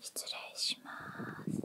失礼します。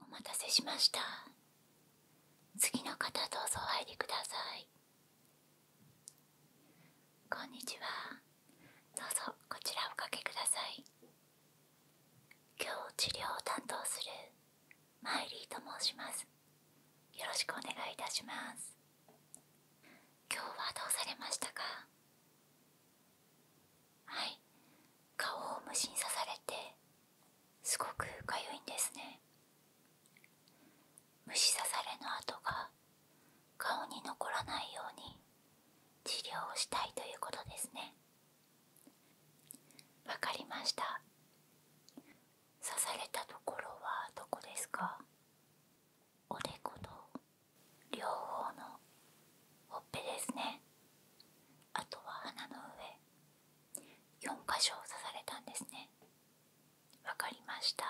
お待たせしました。次の方どうぞお入りくださいこんにちはどうぞこちらおかけください今日治療を担当するマイリーと申しますよろしくお願いいたします今日はどうされましたかはい顔を無心さされてすごくかゆいんですね虫刺されの跡が顔に残らないように治療をしたいということですねわかりました刺されたところはどこですかおでこと両方のほっぺですねあとは鼻の上4箇所刺されたんですねわかりました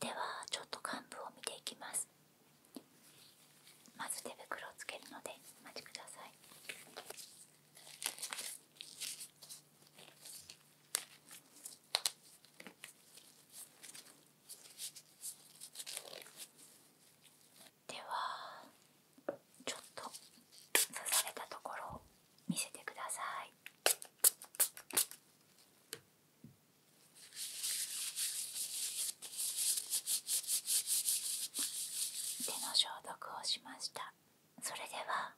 ではちょっと患部を見ていきますまず手袋をつけるのでお待ちくださいではちょっと刺されたところを見せてください。手の消毒をしました。それでは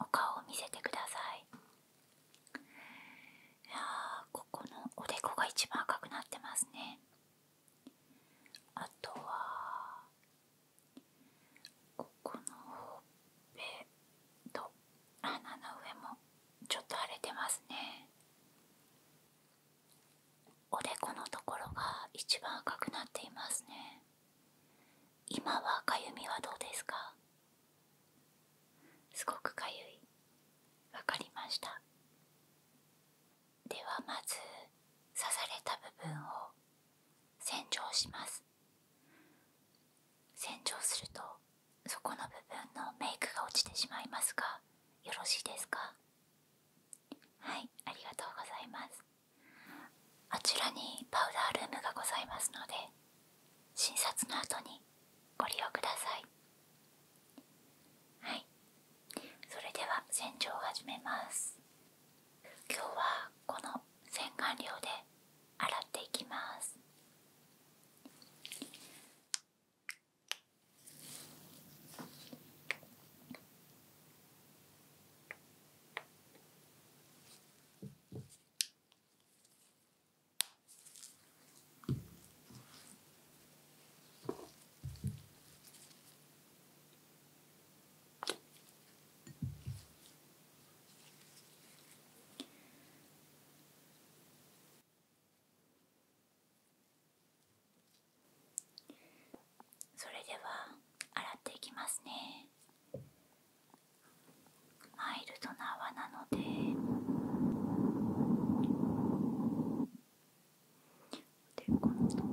お顔を見せてください。いやここのおでこが一番赤くなってますね。あとはここのほっぺと鼻の上もちょっと腫れてますねおでこのところが一番赤くなっていますね今はかゆみはどうですかすごくかゆいわかりましたではまず刺された部分を洗浄します洗浄すると底の部分のメイクが落ちてしまいますがよろしいですかはいありがとうございますあちらにパウダールームがございますので診察の後にご利用くださいはいそれでは洗浄を始めます今日はこの洗顔料で洗っていきますそれでは洗っていきますねマイルドな泡なのでで今度今度で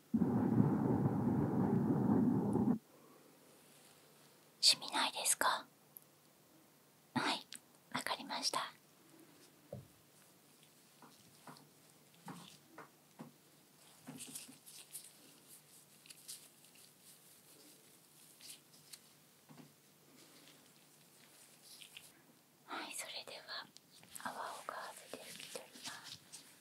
しみないですかはいわかりましたはいそれでは泡をかーせて拭き取ります。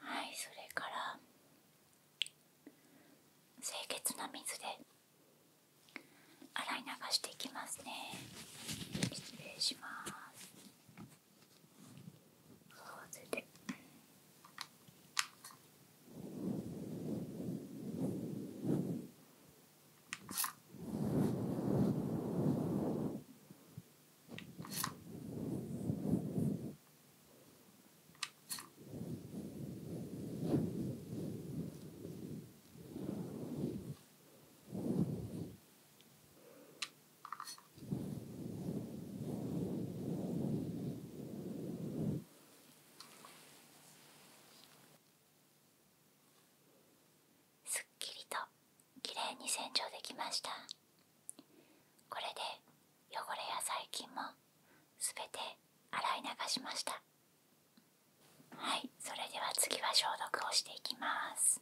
はいそれから清潔な水で洗い流していきますね失礼しますすっきりときれいに洗浄できました。これで汚れや細菌も全て洗い流しましたはいそれでは次は消毒をしていきます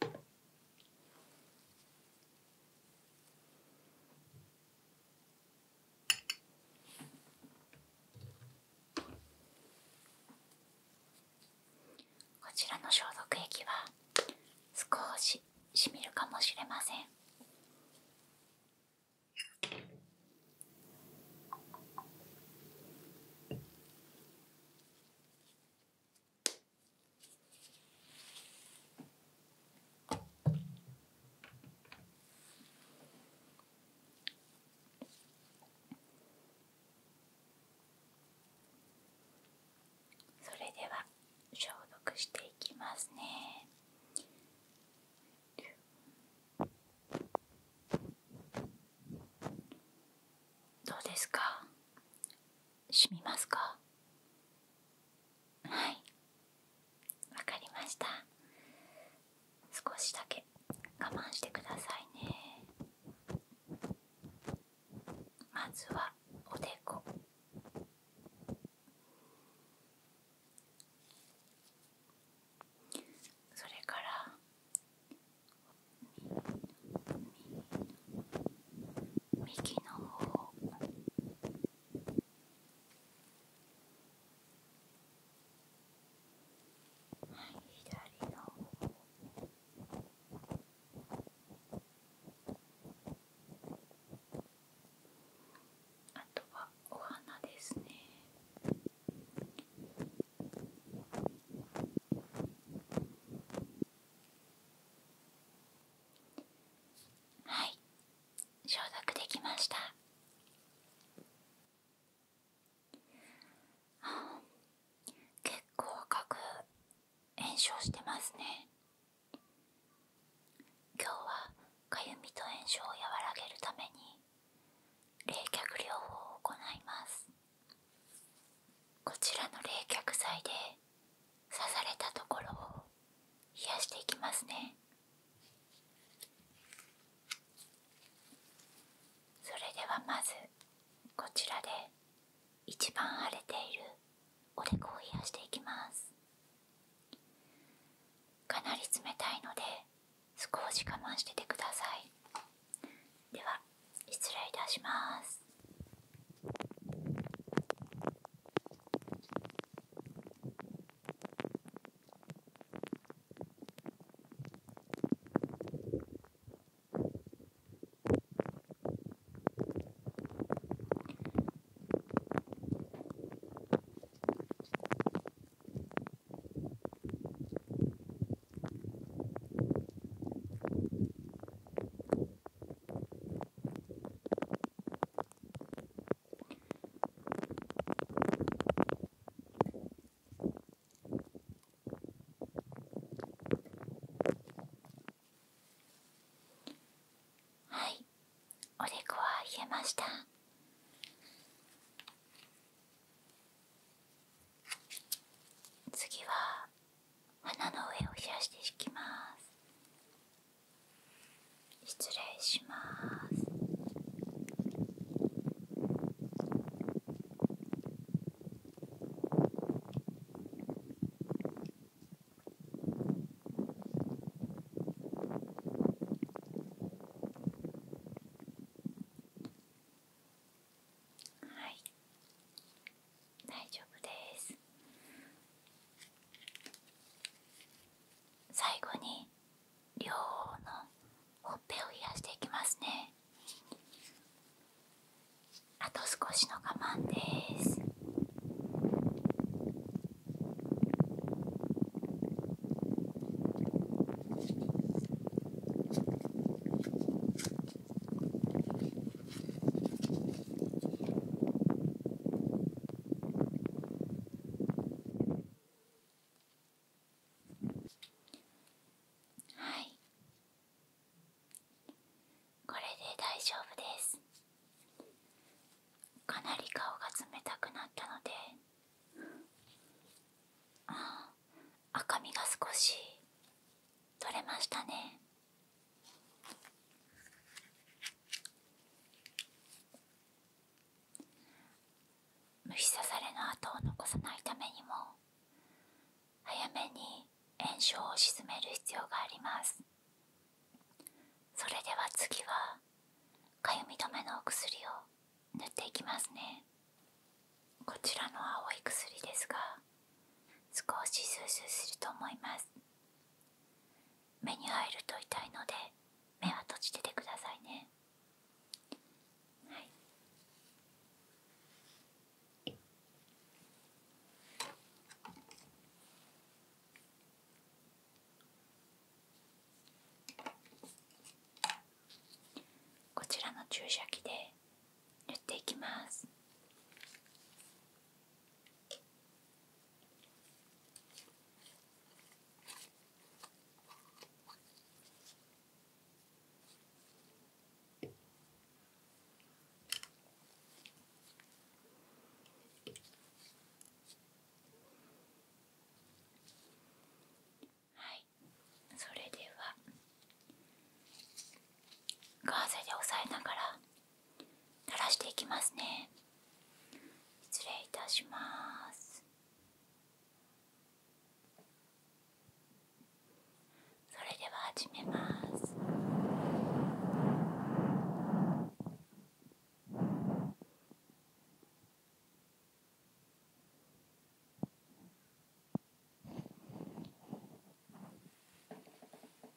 こちらの消毒液は少ししみるかもしれませんそれでは消毒していきますね。どうですかしみますかはいわかりました少しだけ我慢してくださいねまずはおでこそれから右の方はい左の方あとはお花ですね。はい消毒できましたあ結構赤く炎症してますね今日はかゆみと炎症を和らげるために冷却療法を行いますこちらの冷却剤で刺されたところを冷やしていきますねそれではまずこちらで一番荒れているおでこを冷やしていきますかなり冷たいので少し我慢しててくださいでは失礼いたしますはいおでこは冷えました次は鼻の上を冷やしていきます失礼しますはい大丈夫です最後に両方のほっぺを冷やしていきますねあと少しの我慢ですはいこれで大丈夫ですかなり顔が冷たくなったのであ赤みが少し取れましたね虫刺されの跡を残さないためにも早めに炎症を鎮める必要がありますそれでは次はかゆみ止めのお薬を塗っていきますねこちらの青い薬ですが少しスースーすると思います目に入ると痛いので目は閉じててくださいねはいこちらの注射器で塗っていきますはいそれではガーゼで押さえながら垂らしていきますね失礼いたしますそれでは始めます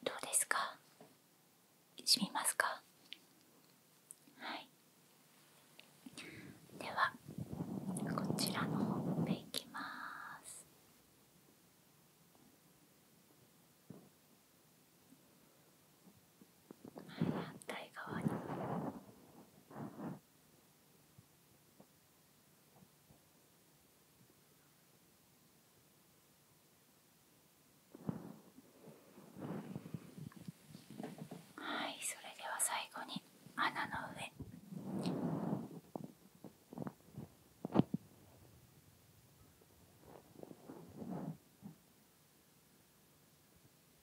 どうですかしみますかはいではこちらのほっぺいきます反対側に。はいそれでは最後に穴の上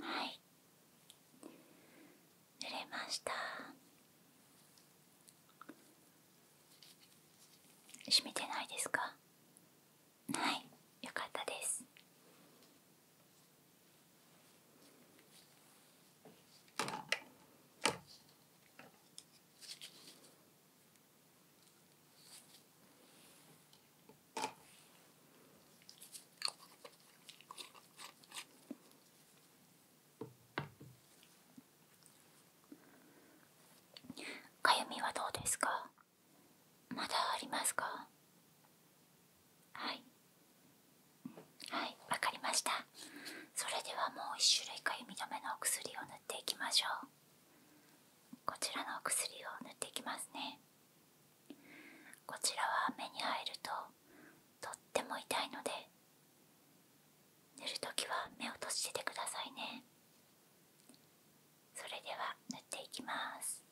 はい濡れました閉めてないですかはいよかったですかゆみはどうですかまだありますかはいわかりましたそれではもう1種類かゆみ止めのお薬を塗っていきましょうこちらのお薬を塗っていきますねこちらは目にえるととっても痛いので塗るときは目を閉じててくださいねそれでは塗っていきます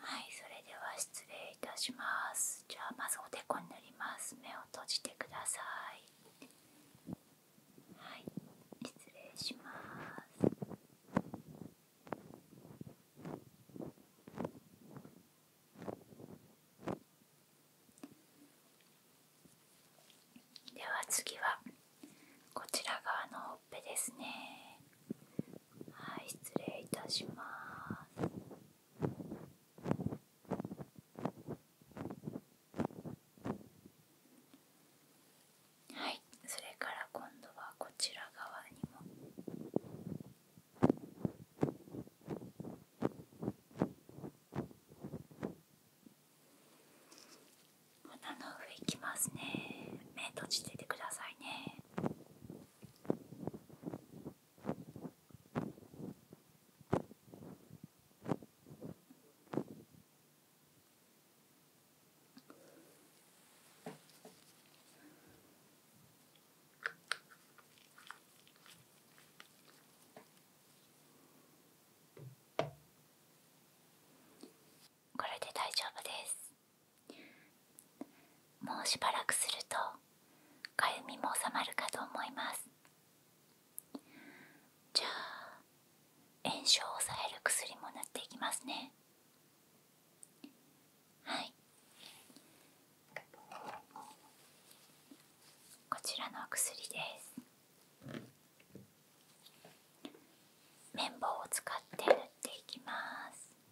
はいそれでは失礼いたしますじゃあまずおでこに塗ります目を閉じてくださいはい失礼しますでは次はこちら側のほっぺですねはい失礼いたしますはいそれから今度はこちら側にも鼻の上いきますね目閉じててくださいねこれで大丈夫ですもうしばらくするとかゆみも収まるかと思いますじゃあ炎症を抑える薬も塗っていきますねはいこちらの薬です綿棒を使って塗っていきます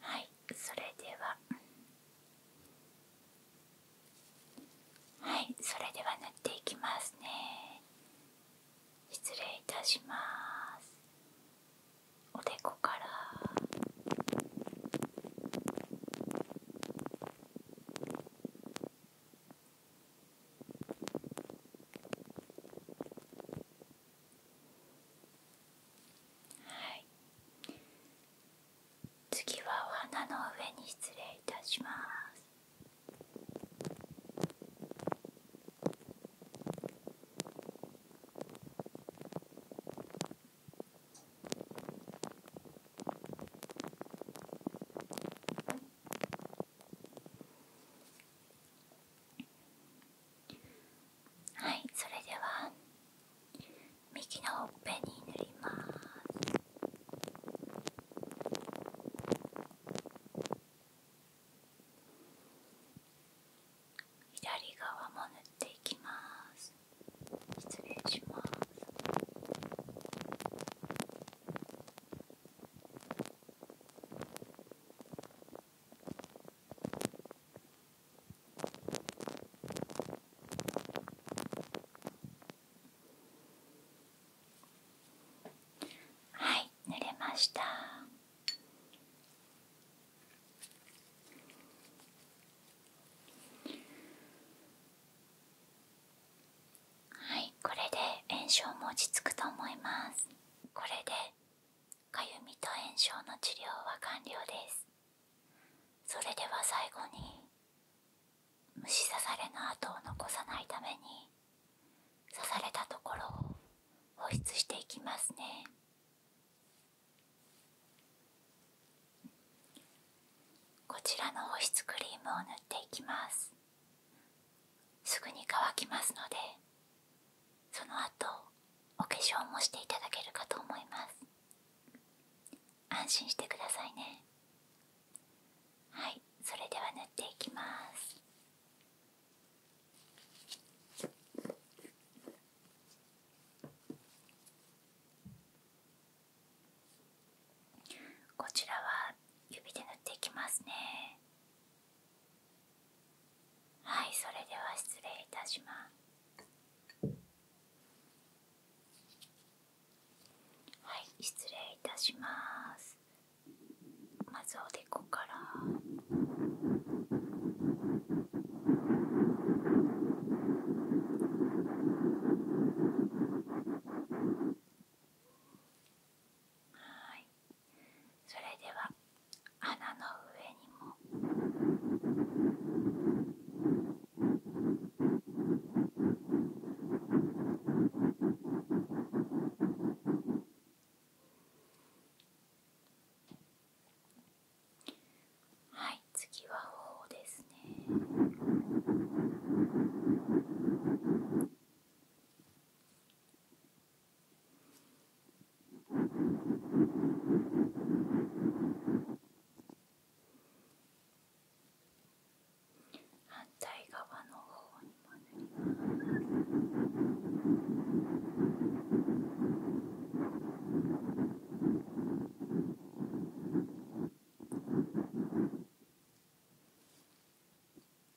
はいそれでははいそれでは塗っていきますね失礼いたしますおでこからはい次はお花の上に失礼いたしますはいそれでは右のほっぺに塗ります左側も塗っていきます失礼しますはい濡れましたはいこれで炎症も落ち着くと思いますこれでかゆみと炎症の治療は完了ですそれでは最後に虫刺されの跡を残さないために刺されたところを保湿していきますねこちらの保湿クリームを塗っていきますすぐに乾きますのでその後お化粧もしていただけるかと思います安心してくださいねはいそれでは塗っていきますこちらは指で塗っていきますねはいそれでは失礼いたしますはい失礼いたしますまずおでこからはいそれでは穴の上にもはい次は頬ですね反対側の方に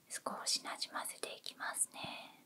少しなじませていきますね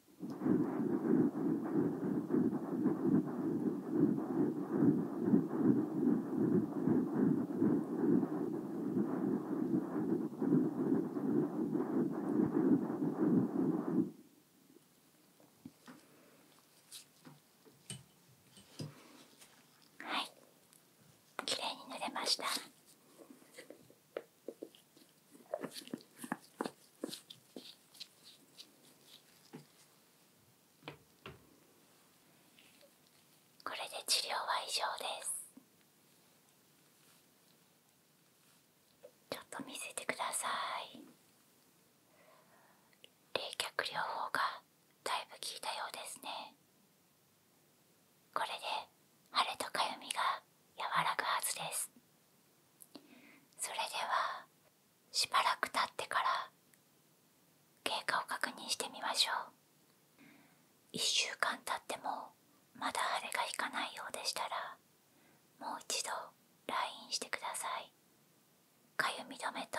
はい、綺麗に塗れました。これで治療は以上ですちょっと見せてください冷却療法がだいぶ効いたようですねこれで腫れとかゆみが和らぐはずですそれではしばらく経ってから経過を確認してみましょう1週間経ってもまだ腫れが引かないようでしたらもう一度来院してくださいかゆみ止めと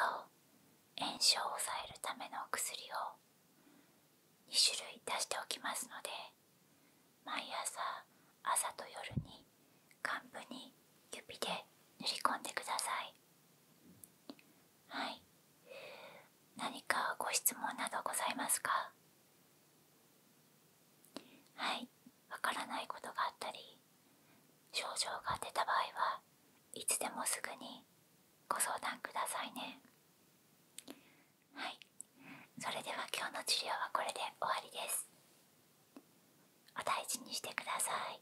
炎症を抑えるためのお薬を2種類出しておきますので毎朝朝と夜に患部に指で塗り込んでくださいはい何かご質問などございますかはいわからないことがあったり症状が出た場合はいつでもすぐにご相談くださいねはいそれでは今日の治療はこれで終わりですお大事にしてください